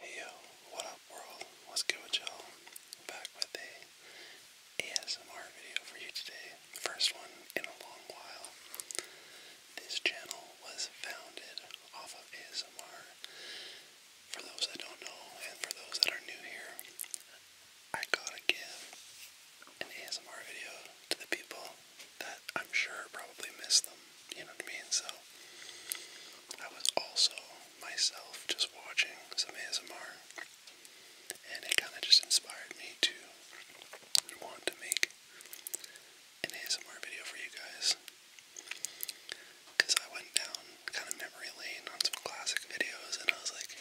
Hey yo, what up world? What's good with y'all? Back with a ASMR video for you today. First one in a long while. This channel was founded off of ASMR. For those that don't know and for those that are new here, I gotta give an ASMR video to the people that I'm sure probably miss them. You know what I mean? So I was also myself just watching some ASMR and it kinda just inspired me to want to make an ASMR video for you guys. Cause I went down kind of memory lane on some classic videos and I was like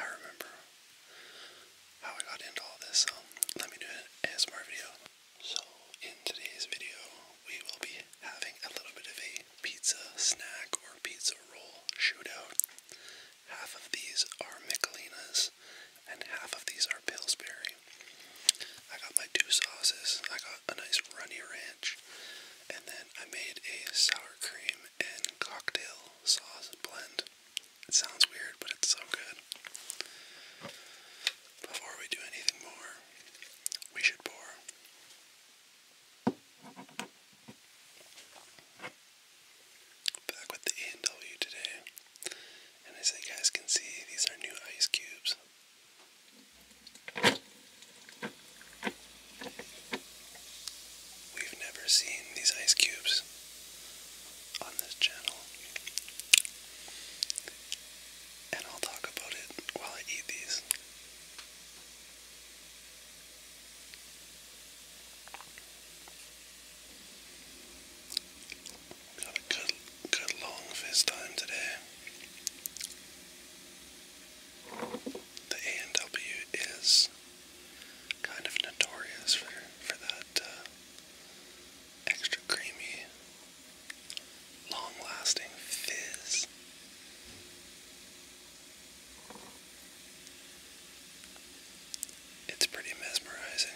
I remember how I got into all this, so let me do an ASMR video so, in today's video, we will be having a little bit of a pizza snack or pizza roll shootout. Half of these are Michelinas, and half of these are Pillsbury. I got my two sauces, I got a nice runny ranch, and then I made a sour cream and cocktail sauce blend. It sounds weird, but it's so good. Before we do anything more, we should pour. Back with the a today. And as you guys can see, these are new ice cubes. We've never seen these ice cubes on this channel and I'll talk about it while I eat these. Got a good, good long fist time today. The A&W is kind of notorious for for that uh, extra creamy long lasting fizz. It's pretty mesmerizing.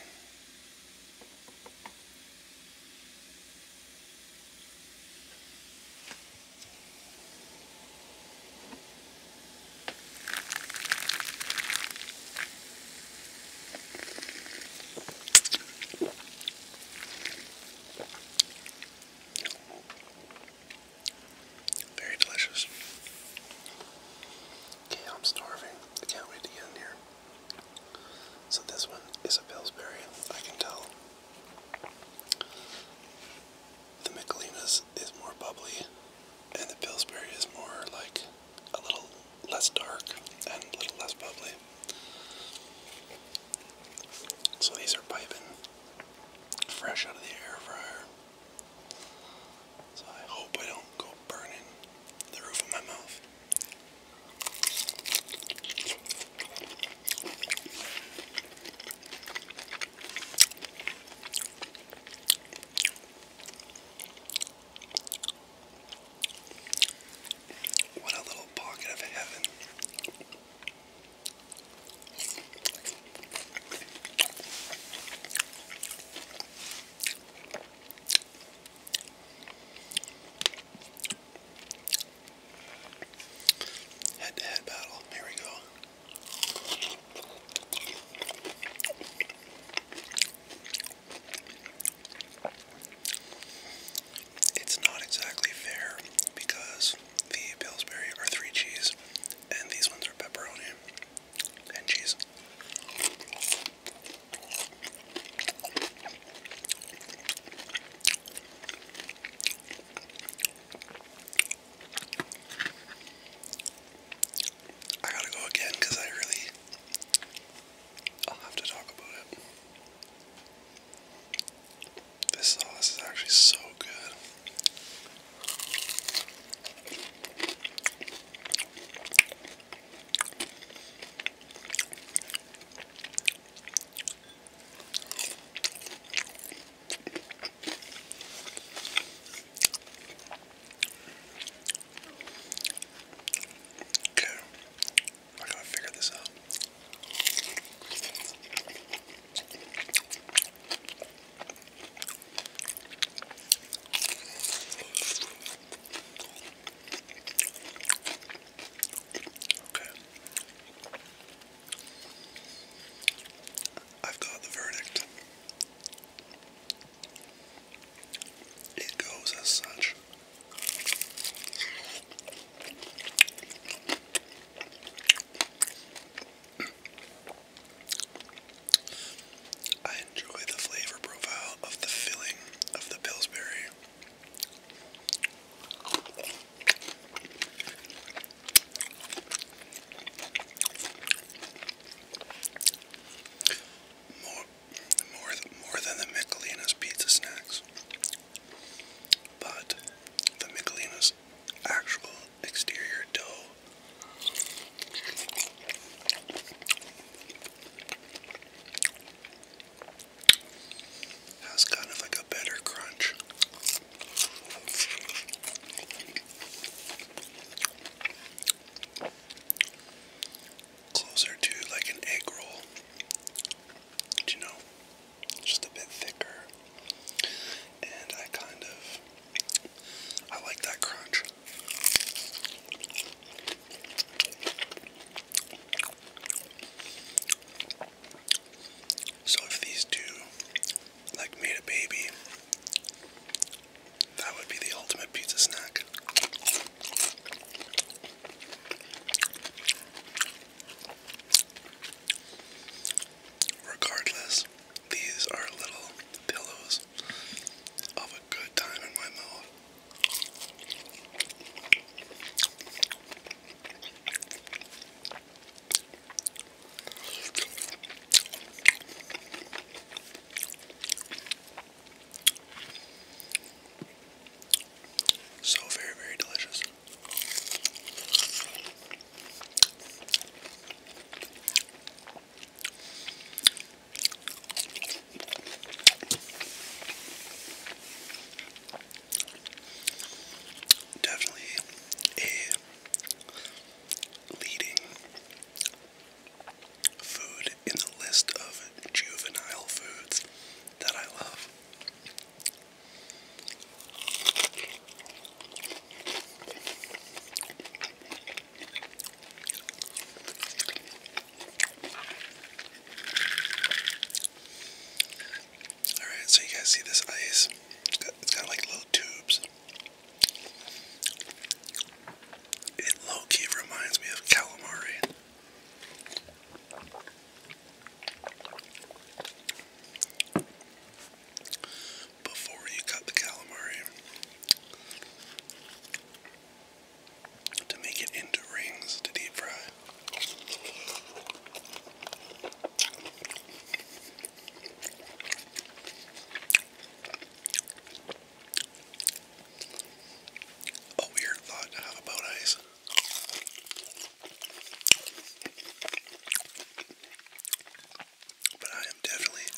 Very delicious. Okay, I'm starving. I can't wait to get in here. So this one is a Pillsbury, I can tell. The Michelinas is more bubbly, and the Pillsbury is more like a little less dark and a little less bubbly. So these are piping fresh out of the air fryer. So I hope I don't go burning the roof of my mouth. What a little pocket of heaven. Head to head battle. Here we go. It's not exactly fair because the Pillsbury are three cheese and these ones are pepperoni and cheese. I gotta go again because I really I'll have to talk about it. This sauce is actually so good. Okay, I gotta figure this out. Okay. I've got the verdict. It goes as such. I enjoy the flavor profile of the filling of the Pillsbury. More, more, than the Michelinas pizza snacks. But the Michelinas actual exterior dough has kind of like a better crunch closer to like an egg roll. you know? Just a bit thicker. And I kind of I like that crunch. So if these two like made a baby, that would be the ultimate pizza snack. Regardless, these are little pillows of a good time in my mouth. So very, very delicious. Definitely a leading food in the list of juvenile foods that I love. Alright, so you guys see this ice? It's got, like little tubes. It low key reminds me of calamari. Before you cut the calamari, to make it into rings to deep fry. A weird thought to have about ice. But I am definitely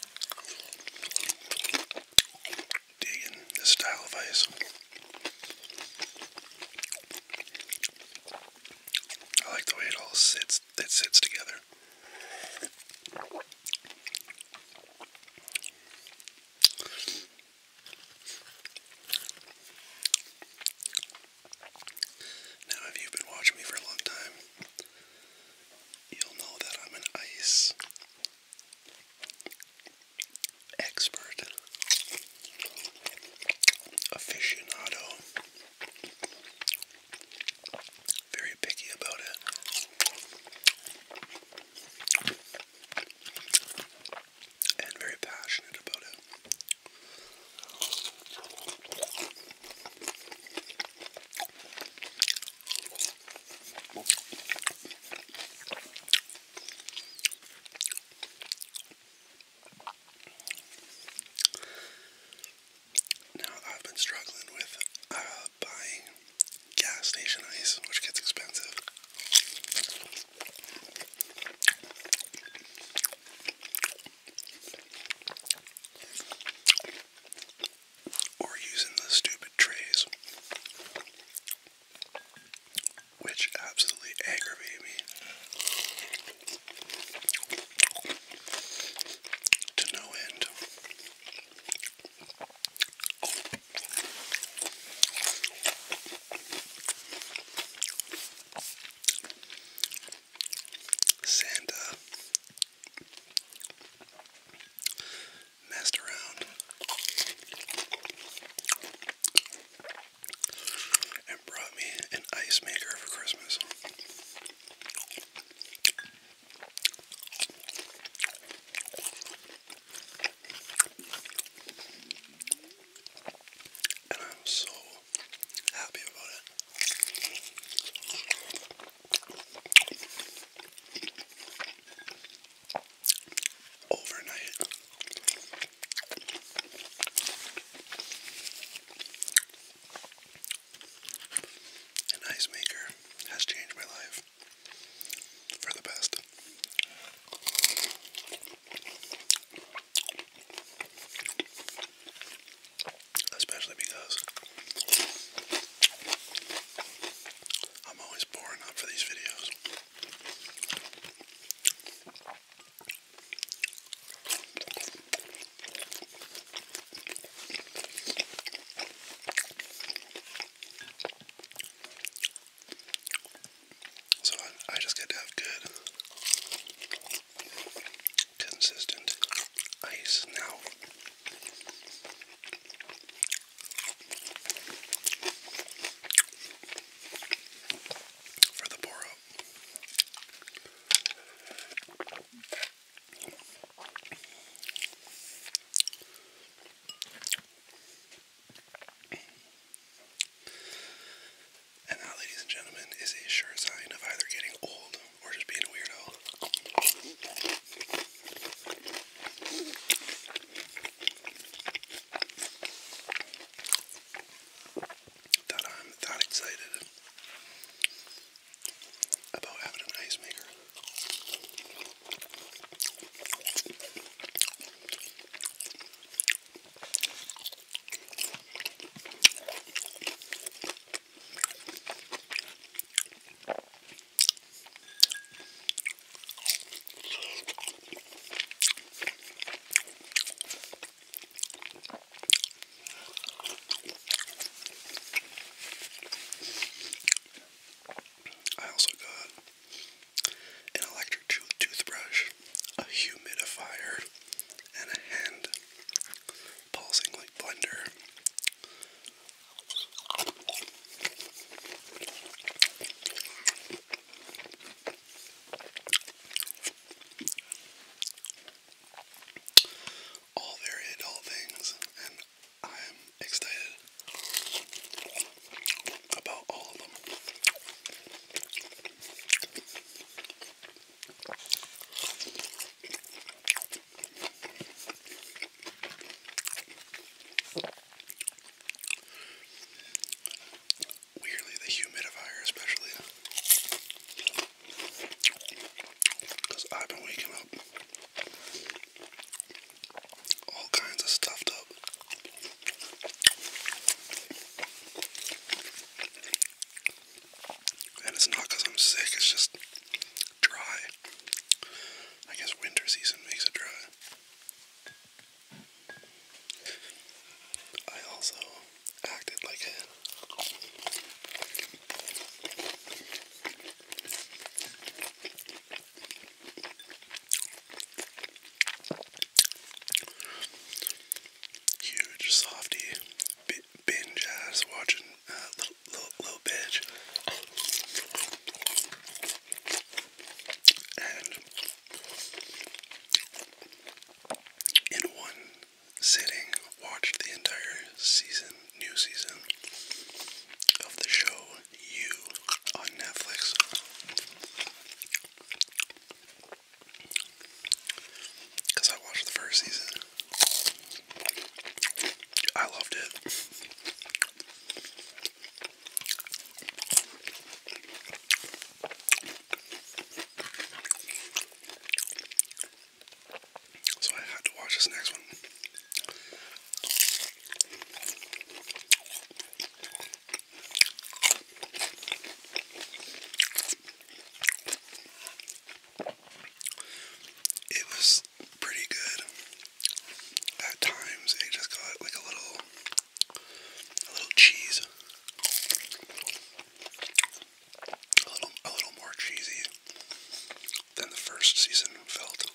digging this style of ice. I like the way it all sits, it sits together. Now, if you've been watching me for a long time, you'll know that I'm an ice expert, aficionado very picky about it. And very passionate about it. Now I've been struggling with uh, uh, gas station ice, which gets expensive. Or using the stupid trays, which absolutely aggravate me to no end. Santa messed around and brought me an ice maker for Christmas. And I'm so happy about it. Overnight, an ice maker has changed my life for the best. Especially because I'm always boring up for these videos. So I, just get to have good, consistent ice now. For the pour up. And that, ladies and gentlemen, is a sure sign of either getting old or just being a weirdo. That I'm that excited about having an ice maker. I also got an electric toothbrush, a humidifier, and a hand pulsing like blender all very adult things, and I'm excited about all of them. Weirdly, the humidifier, especially, because I've been waking up all kinds of stuffed up. And it's not because I'm sick, it's just dry. I guess winter season makes it dry. I also acted like a Huge softy binge ass watching uh, little little bitch. And in one sitting, watched the entire season, new season of the show You on Netflix. Because I watched the first season. I loved it. So I had to watch this next one. It was pretty good. At times it just got like a little a little cheese a little a little more cheesy than the first season felt.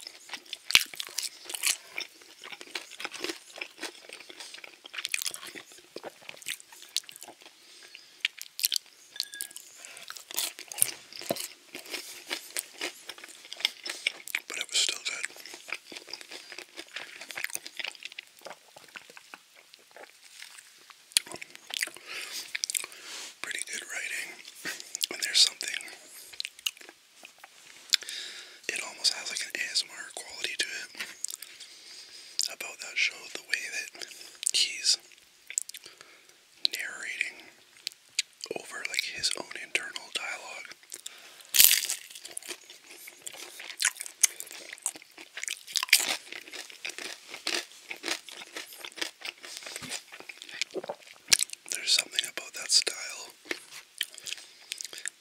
But it was still good. Pretty good writing. And there's something, it almost has like an ASMR quality to it about that show, the way that he's narrating over like his own internal dialogue. There's something about that style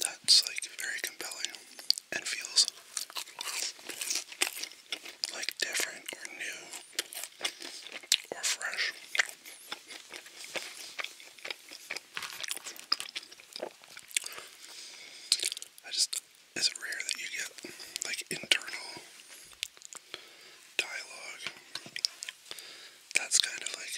that's like very compelling and feels like different or new or fresh. I just is it rare that you get like internal dialogue that's kind of like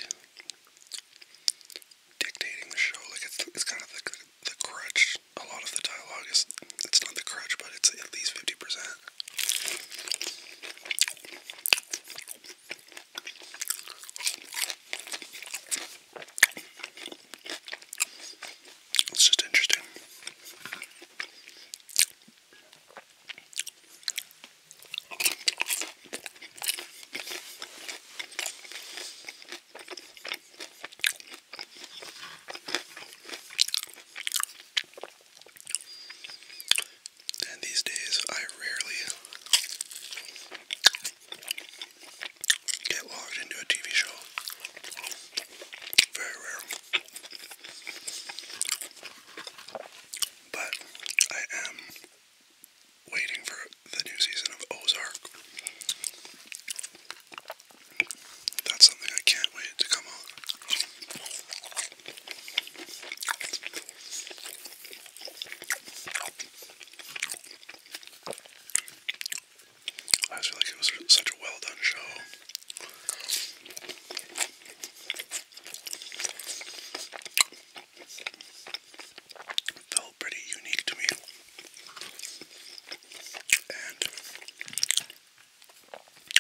dictating the show. Like it's it's kind of the the crutch. A lot of the dialogue is it's not the crutch, but it's at least fifty percent. It's just interesting. And these days, I rarely get logged into a TV show. Very rare. But I am waiting for the new season of Ozark. That's something I can't wait to come on. I just feel like it was such a well done show. It felt pretty unique to me. And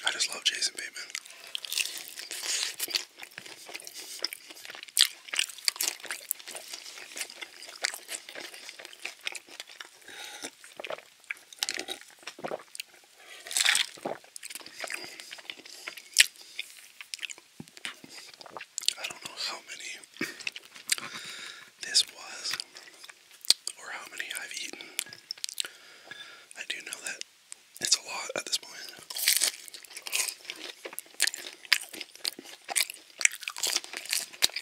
I just love Jason Bateman. I don't know how many this was or how many I've eaten. I do know that it's a lot at this point.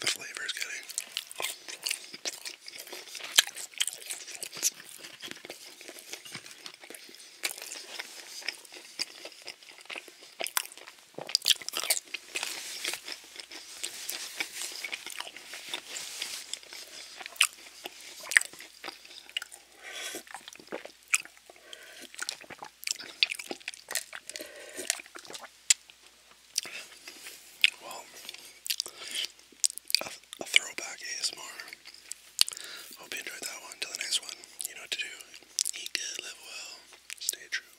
the flavor is getting. Well, a, a throwback ASMR. Hope you enjoyed that one. Till the next one, you know what to do. live well, stay true.